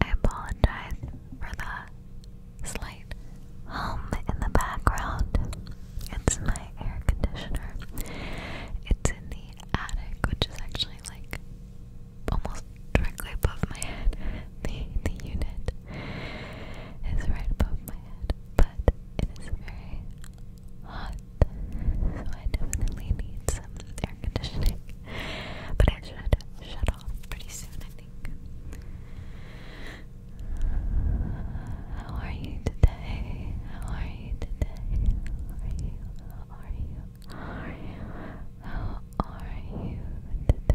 I apologize for the slight hum in the background. It's my air conditioner. It's in the attic, which is actually like almost directly above my head. The the unit is right above my head, but it is very hot, so I definitely need some air conditioning. But it should shut off pretty soon, I think. How are you today? How are you today? are you? are you? are you? How are you today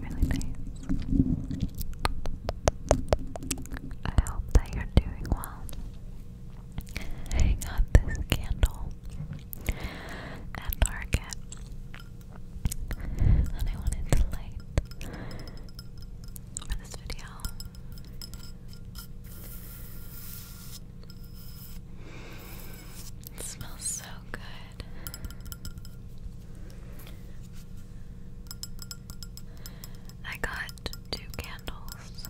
Really nice. I hope that you're doing well. I got this candle at Target, and I wanted to light for this video. It smells so good. I got two candles,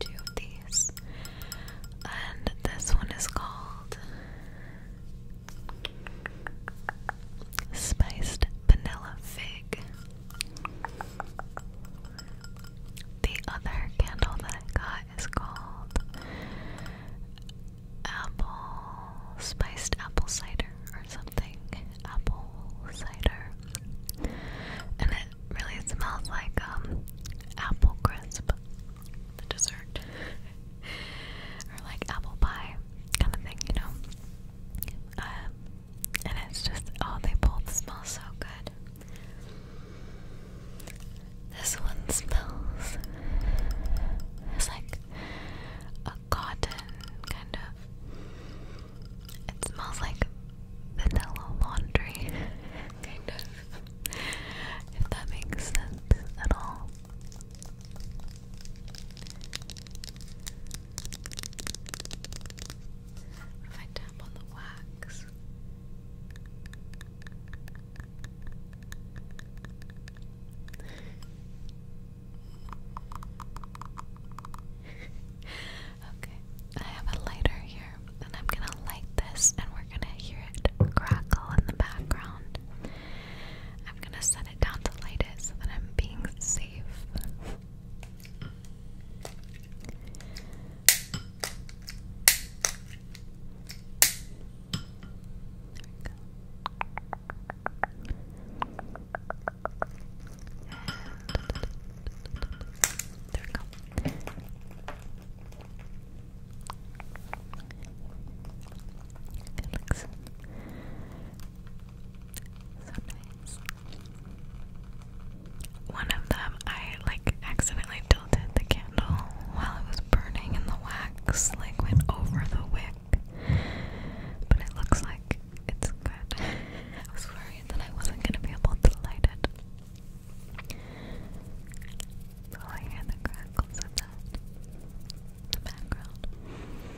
two of these, and this one is called Spiced Vanilla Fig. The other candle that I got it's called apple spiced apple cider or something. Apple cider. And it really smells like um apple crisp. The dessert. or like apple pie kind of thing, you know. Um, and it's just oh they both smell so good. This one smells. It's like a cotton kind of. It smells like vanilla laundry, kind of. If that makes sense at all. If I tap on the wax, okay, I have a lighter here, and I'm gonna light this, and we're gonna hear it crackle in the background. I'm gonna set it down to light it so that I'm being safe we go. It looks so One of them I like accidentally I tilted the candle while it was burning, and the wax like went over the wick. But it looks like it's good. I was worried that I wasn't gonna be able to light it. So I hear the crackles of in the background.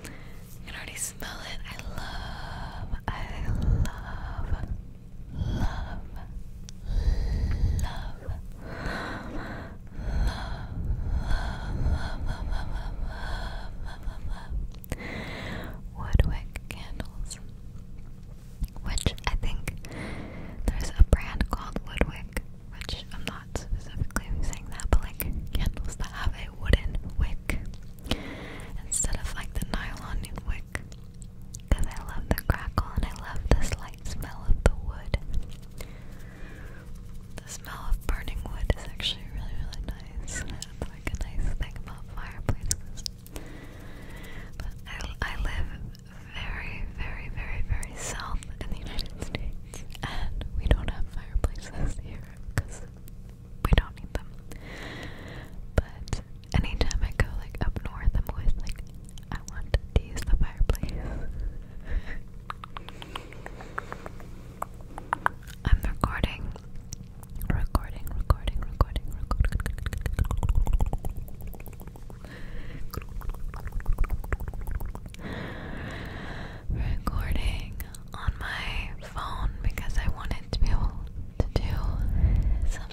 You can already smell it. I love, I love love, love, love, Woodwick candles, which I think there's a brand called Woodwick, which I'm not specifically saying that, but like candles that have a wooden wick instead of like the nylon because I love the crackle and I love the slight smell of the wood. The smell of burning wood is actually really, really nice. like a nice thing about fireplaces. But I, I live very, very, very, very south in the United States, and we don't have fireplaces here because we don't need them. But anytime I go like up north, I'm always like, I want to use the fireplace. I'm recording, recording, recording, recording, recording. Recording on my phone because I wanted to be able to do some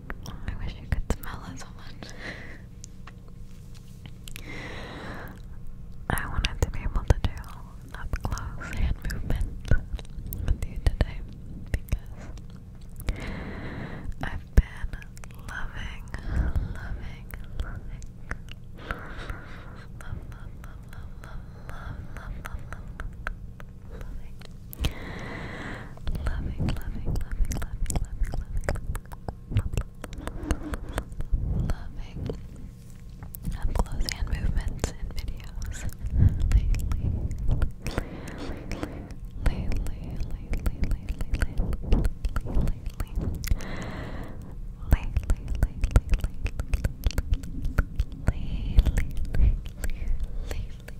I wish you could smell this one. I wanted to be able to do up close hand movement with you today because I've been loving, loving, loving, love, love, love, love, love, love, love, loving, loving, loving, loving, loving, loving, loving, loving up close hand movements in videos lately, lately, lately, lately, lately, lately, lately, lately, lately, lately, lately, lately,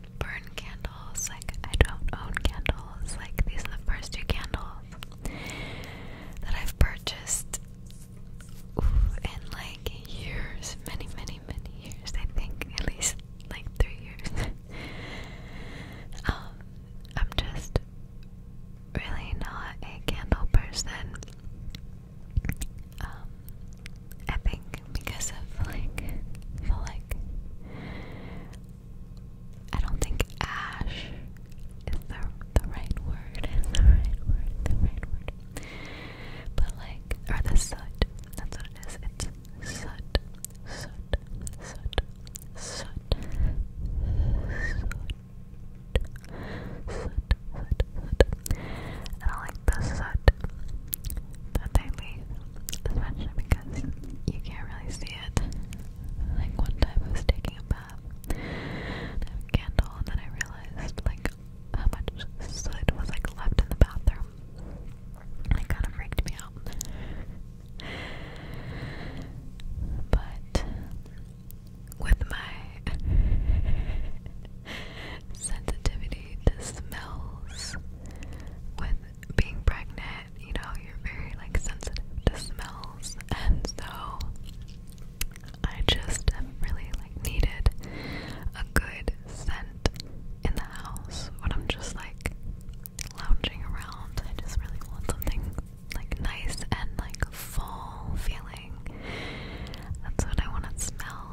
burn candles. Like, I don't own candles. Like, these are the first two candles that I've purchased in like years. Many, many, many years. I think at least like three years. Um, I'm just really not a candle person. Um, I think because of like like I don't think ash is the the right word. The right word. The right word. But like or the soot. That's what it is. It's soot. Soot. Soot. Soot. Soot. Soot, soot, soot. I like the soot that they especially because you can't really see it. Like one time I was taking a bath, candle, and then I realized like how much soot was like left in the bathroom. It kind of freaked me out. But with my sensitivity to smells, with being pregnant, you know, you're very like sensitive to smells, and so I just have really like needed a good scent in the house when I'm just like lounging around. I just really want something like nice and like fall feeling. That's what I want to smell.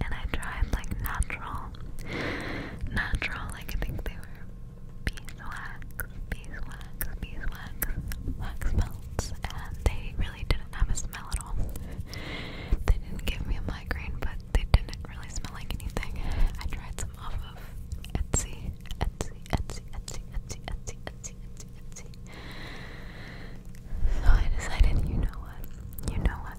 and I tried like natural, natural, like I think they were beeswax, beeswax, beeswax, wax melts, and they really didn't have a smell at all. They didn't give me a migraine, but they didn't really smell like anything. I tried some off of Etsy, Etsy, Etsy, Etsy, Etsy, Etsy, Etsy, Etsy, Etsy. So I decided, you know what, you know what,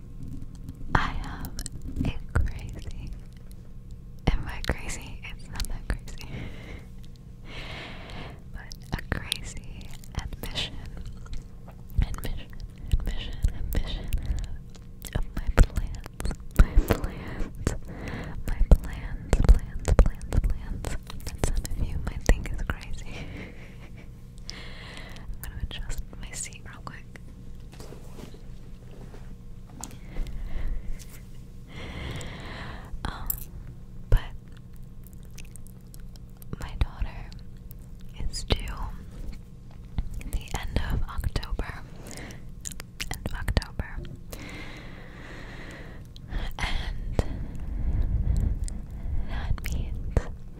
I have a crazy, and by crazy, it's not that crazy, but a crazy admission, admission, admission, admission of my plans, my plans, my plans, plans, plans, plans. That some of you might think is crazy. I'm gonna adjust my seat real quick. um, but my daughter is due the end of October. End of October. And that means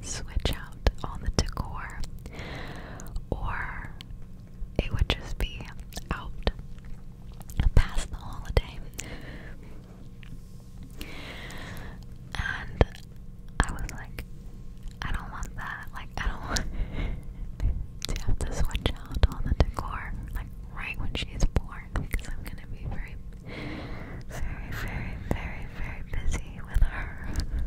switch out on the decor, or it would just be out past the holiday. And I was like, I don't want that. Like, I don't want to have to switch out all the decor, like, right when she's born, because I'm gonna be very, very, very, very, very busy with her.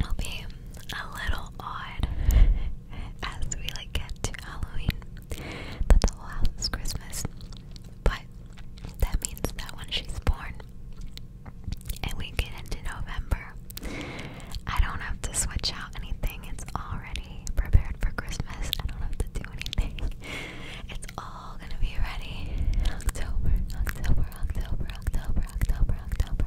will be a little odd as we like get to Halloween that the whole house Christmas. But that means that when she's born and we get into November, I don't have to switch out anything. It's already prepared for Christmas. I don't have to do anything. It's all gonna be ready. October, October, October, October, October, October.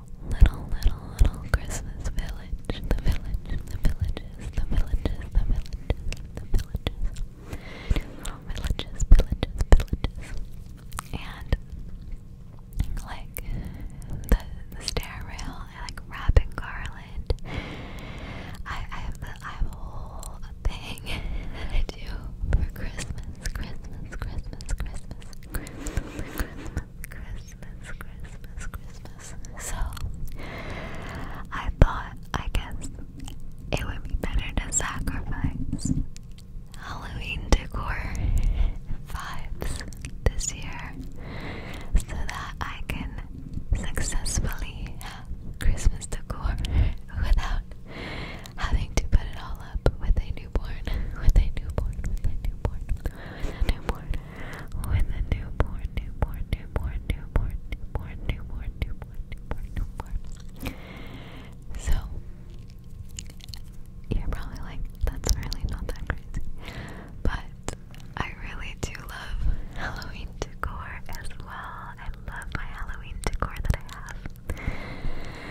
little, little, little, little Christmas village. The village, the villages, the villages, the villages, the villages. Little villages, villages, villages. And like the, the stair rail, I like wrap in garland. I, I have the I have a whole thing that I do for Christmas, Christmas, Christmas, Christmas, Christmas, Christmas, Christmas, Christmas, Christmas, Christmas. So I thought, I guess it would be better to sacrifice Halloween decor vibes this year so that I can successfully have Christmas decor without having to put it all up with a newborn, with a newborn, with a newborn with a newborn, with a newborn, newborn, newborn, newborn, newborn, newborn, newborn, newborn, So you're probably like, that's really not that crazy. But I really do love Halloween decor as well. I love my Halloween decor that I have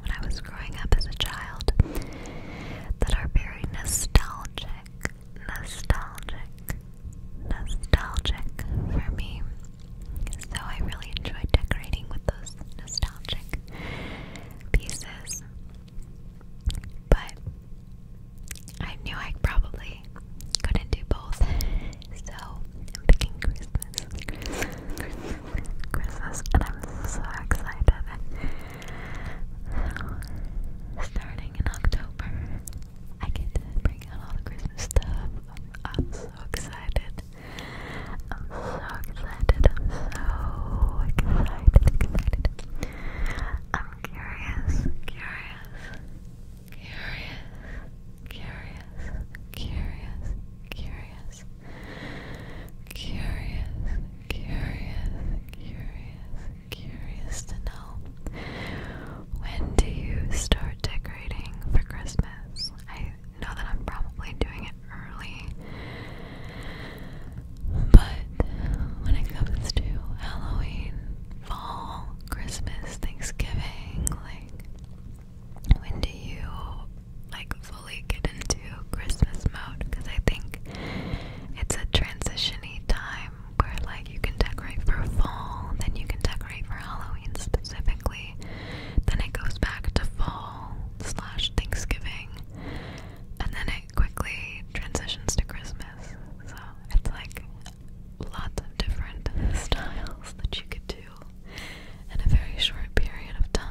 when I was growing up as a child that are very nostalgic, nostalgic, nostalgic for me. So I really enjoy decorating with those nostalgic pieces. But I knew I probably couldn't do both. So I'm picking Christmas, Christmas, and I'm so excited. So, starting in October, I get to bring out all the Christmas stuff. I'm, so excited. I'm so excited. I'm so excited. Excited. I'm curious, curious, curious, curious, curious, curious curious, curious, curious, curious, to know when do you start decorating for Christmas? I know that I'm probably doing it early, but when it comes to Halloween, fall, Christmas, Thanksgiving, like when do you like fully get into Christmas mode because I think it's a transitiony time where like you can decorate for fall, then you can decorate for Halloween specifically, then it goes back to fall slash Thanksgiving, and then it quickly transitions to Christmas. So it's like lots of different styles that you could do in a very short period of time.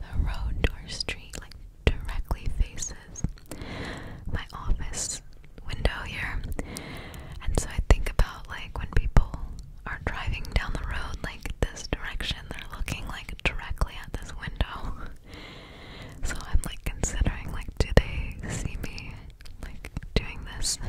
the road or street like directly faces my office window here. And so I think about like when people are driving down the road like this direction, they're looking like directly at this window. So I'm like considering like do they see me like doing this?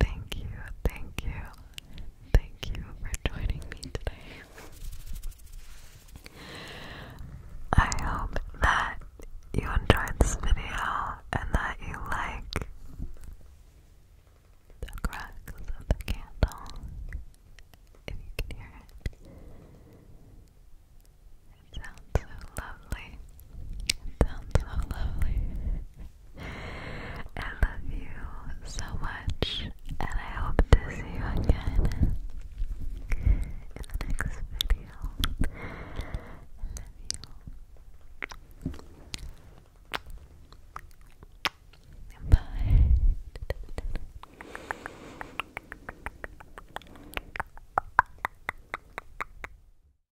Thank you, thank you, thank you for joining me today. I hope that you enjoyed this video and that you like the cracks of the candle, if you can hear it. It sounds so lovely. It sounds so lovely. I love you so much, and I hope to see you again in the next video. I love you. Bye.